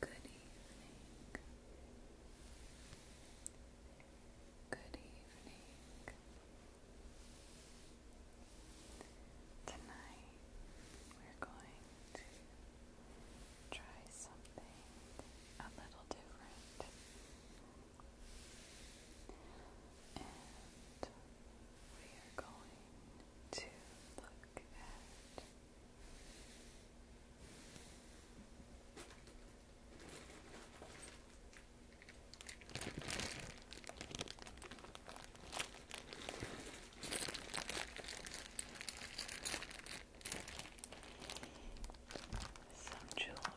Good evening. Good evening. Tonight we're going to try something a little different. And we are going to look at some jewelry.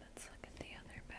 Let's look at the other bag.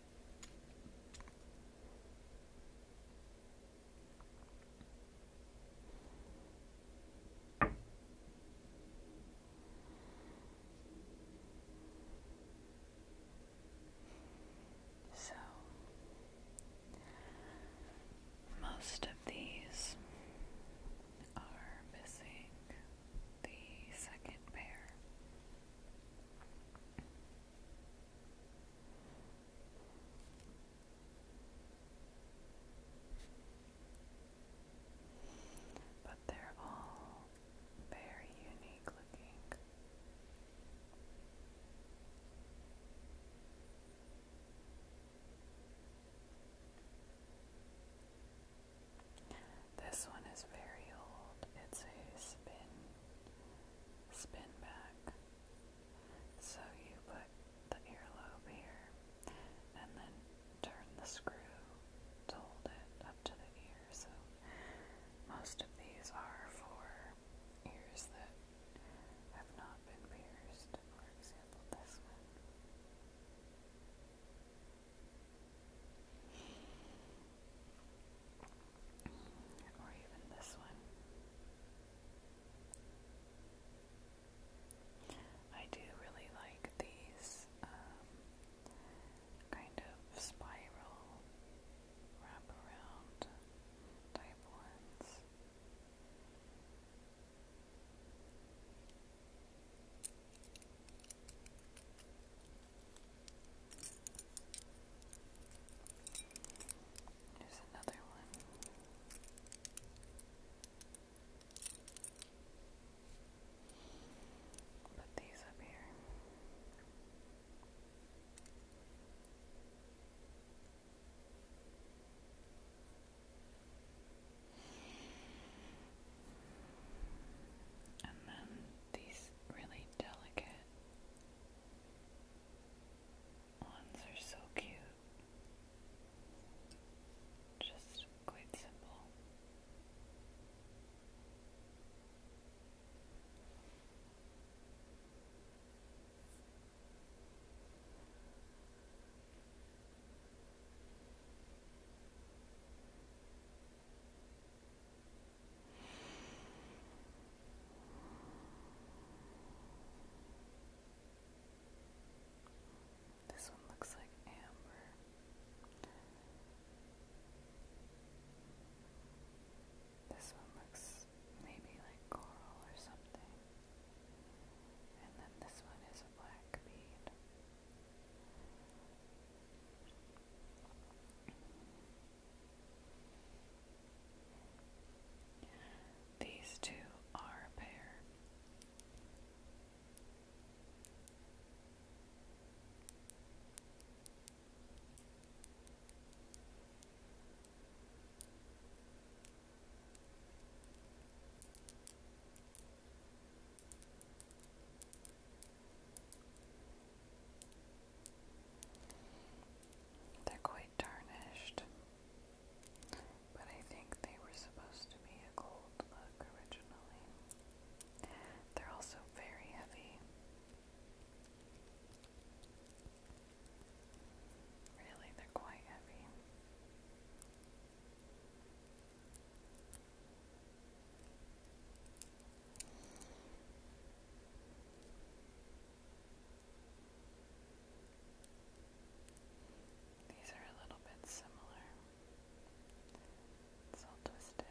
So, most of these are missing the second pair. But they're all very unique looking. This one is very old. It's a spin spin back. So you put the earlobe here and then turn the screw to hold it up to the ear. So most of these are for ears that have not been pierced. For example, this one. Or even this one. I do really like these um, kind of spiral wraparound type ones. There's another one. Put these up here. And then these really delicate ones are so cute. Just quite simple. This one looks like amber. This one looks maybe like coral or something. And then this one is a black bead. These two are a pair. They're quite tarnished, but I think they were supposed to be a gold look originally. They're also very heavy. Really, they're quite heavy. These are a little bit similar. It's all twisted.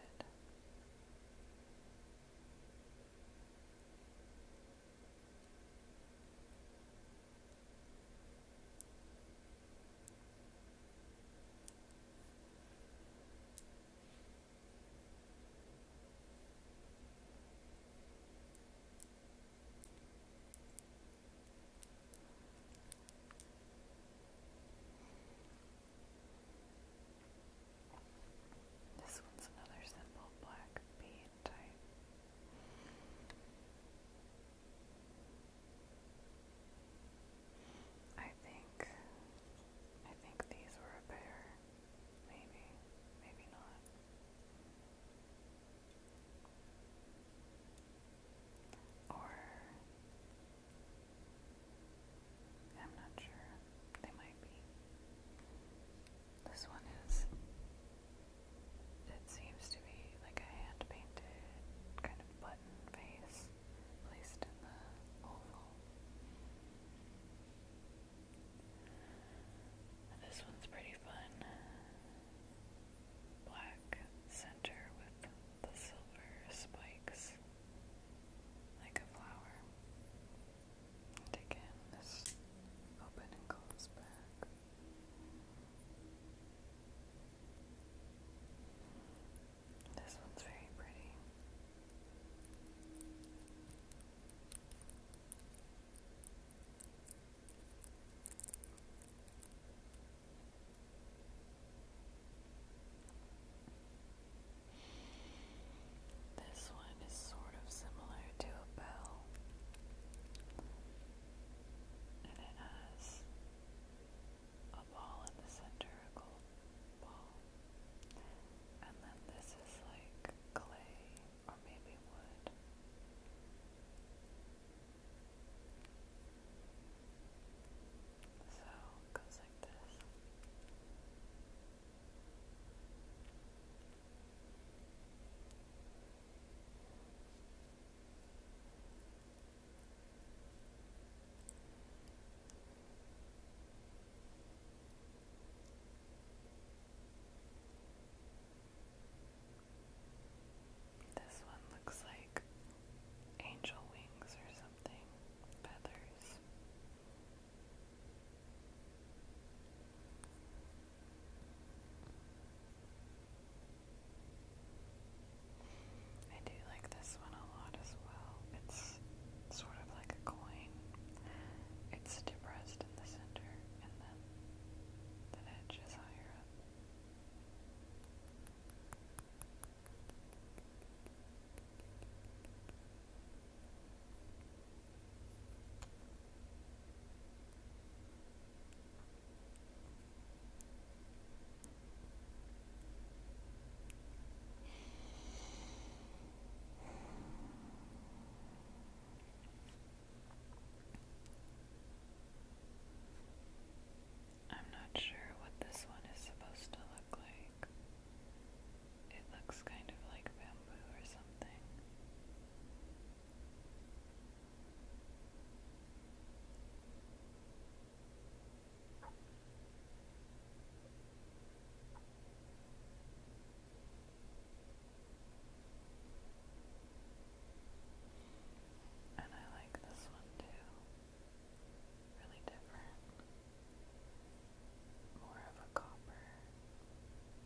This one's another simple black bead type. I think I think these were a pair. Maybe, maybe not. Or I'm not sure. They might be. This one is it seems to be like a hand painted kind of face placed in the oval. This one's pretty fun. Black center with the silver spikes like a flower. again, this open and close back. This one's very pretty. This one is sort of similar to a bell, and it has a ball in the center, a gold ball. And then this is like clay or maybe wood. So goes like this. This one looks like angel wings or something, feathers. I do like this one a lot as well. It's sort of like a coin. It's depressed in the center and then the edge is higher up. I'm not sure what this one is supposed to look like. It looks kind of like bamboo or something. And I like this one too. Really different. More of a copper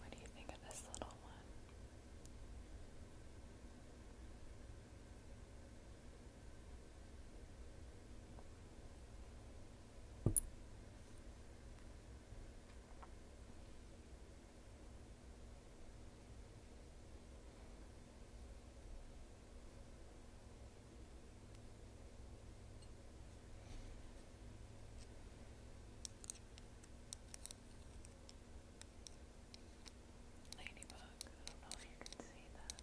What do you think of this little one? Ladybug, I don't know if you can see that.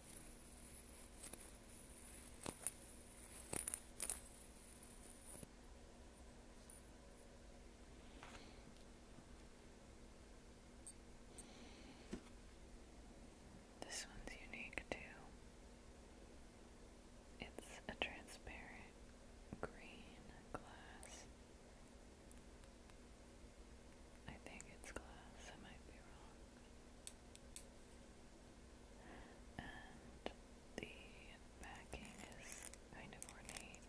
This one's unique too. It's a transparent green glass. I think it's glass, I might be wrong. And the backing is kind of ornate.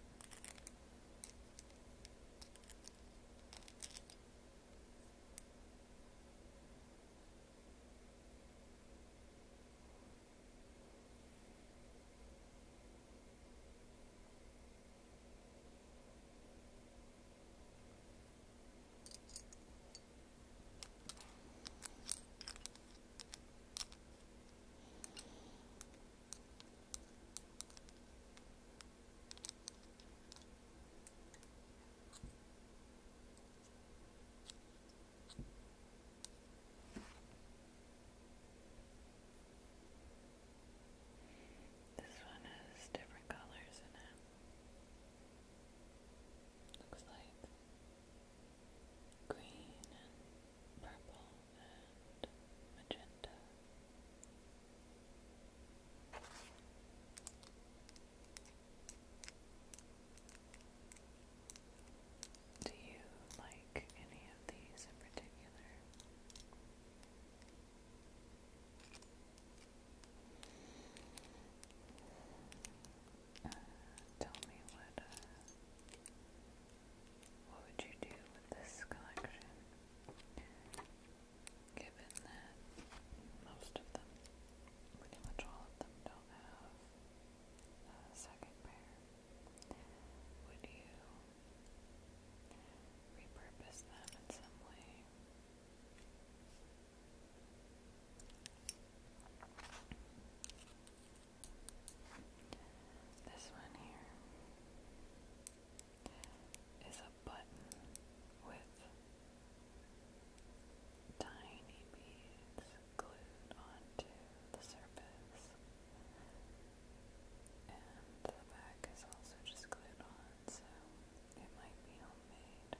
This one has different colors in it. Looks like green and purple and magenta. Do you like any of these in particular? Uh, tell me what uh, what would you do with this collection, given that most of them, pretty much all of them, don't have a second pair? Would you repurpose them in some way? This one here is a button with tiny beads glued onto the surface. And the back is also just glued on, it might be homemade. Yeah.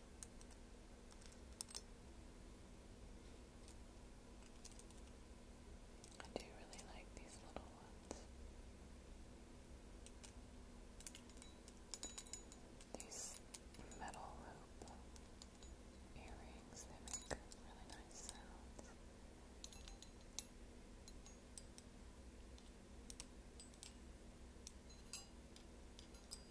I do really like these little ones. These metal loop earrings, they make really nice sounds.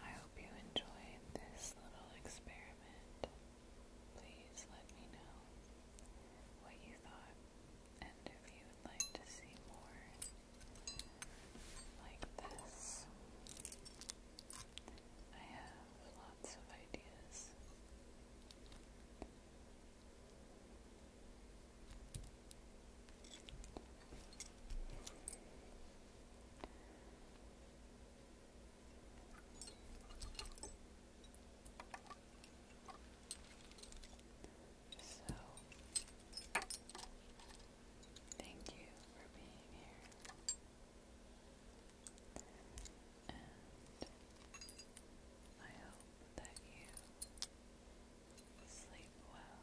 I hope you enjoyed this little experiment. Please let me know what you thought and if you would like to see more like this. I have lots of ideas. So, thank you for being here. And I hope that you sleep well.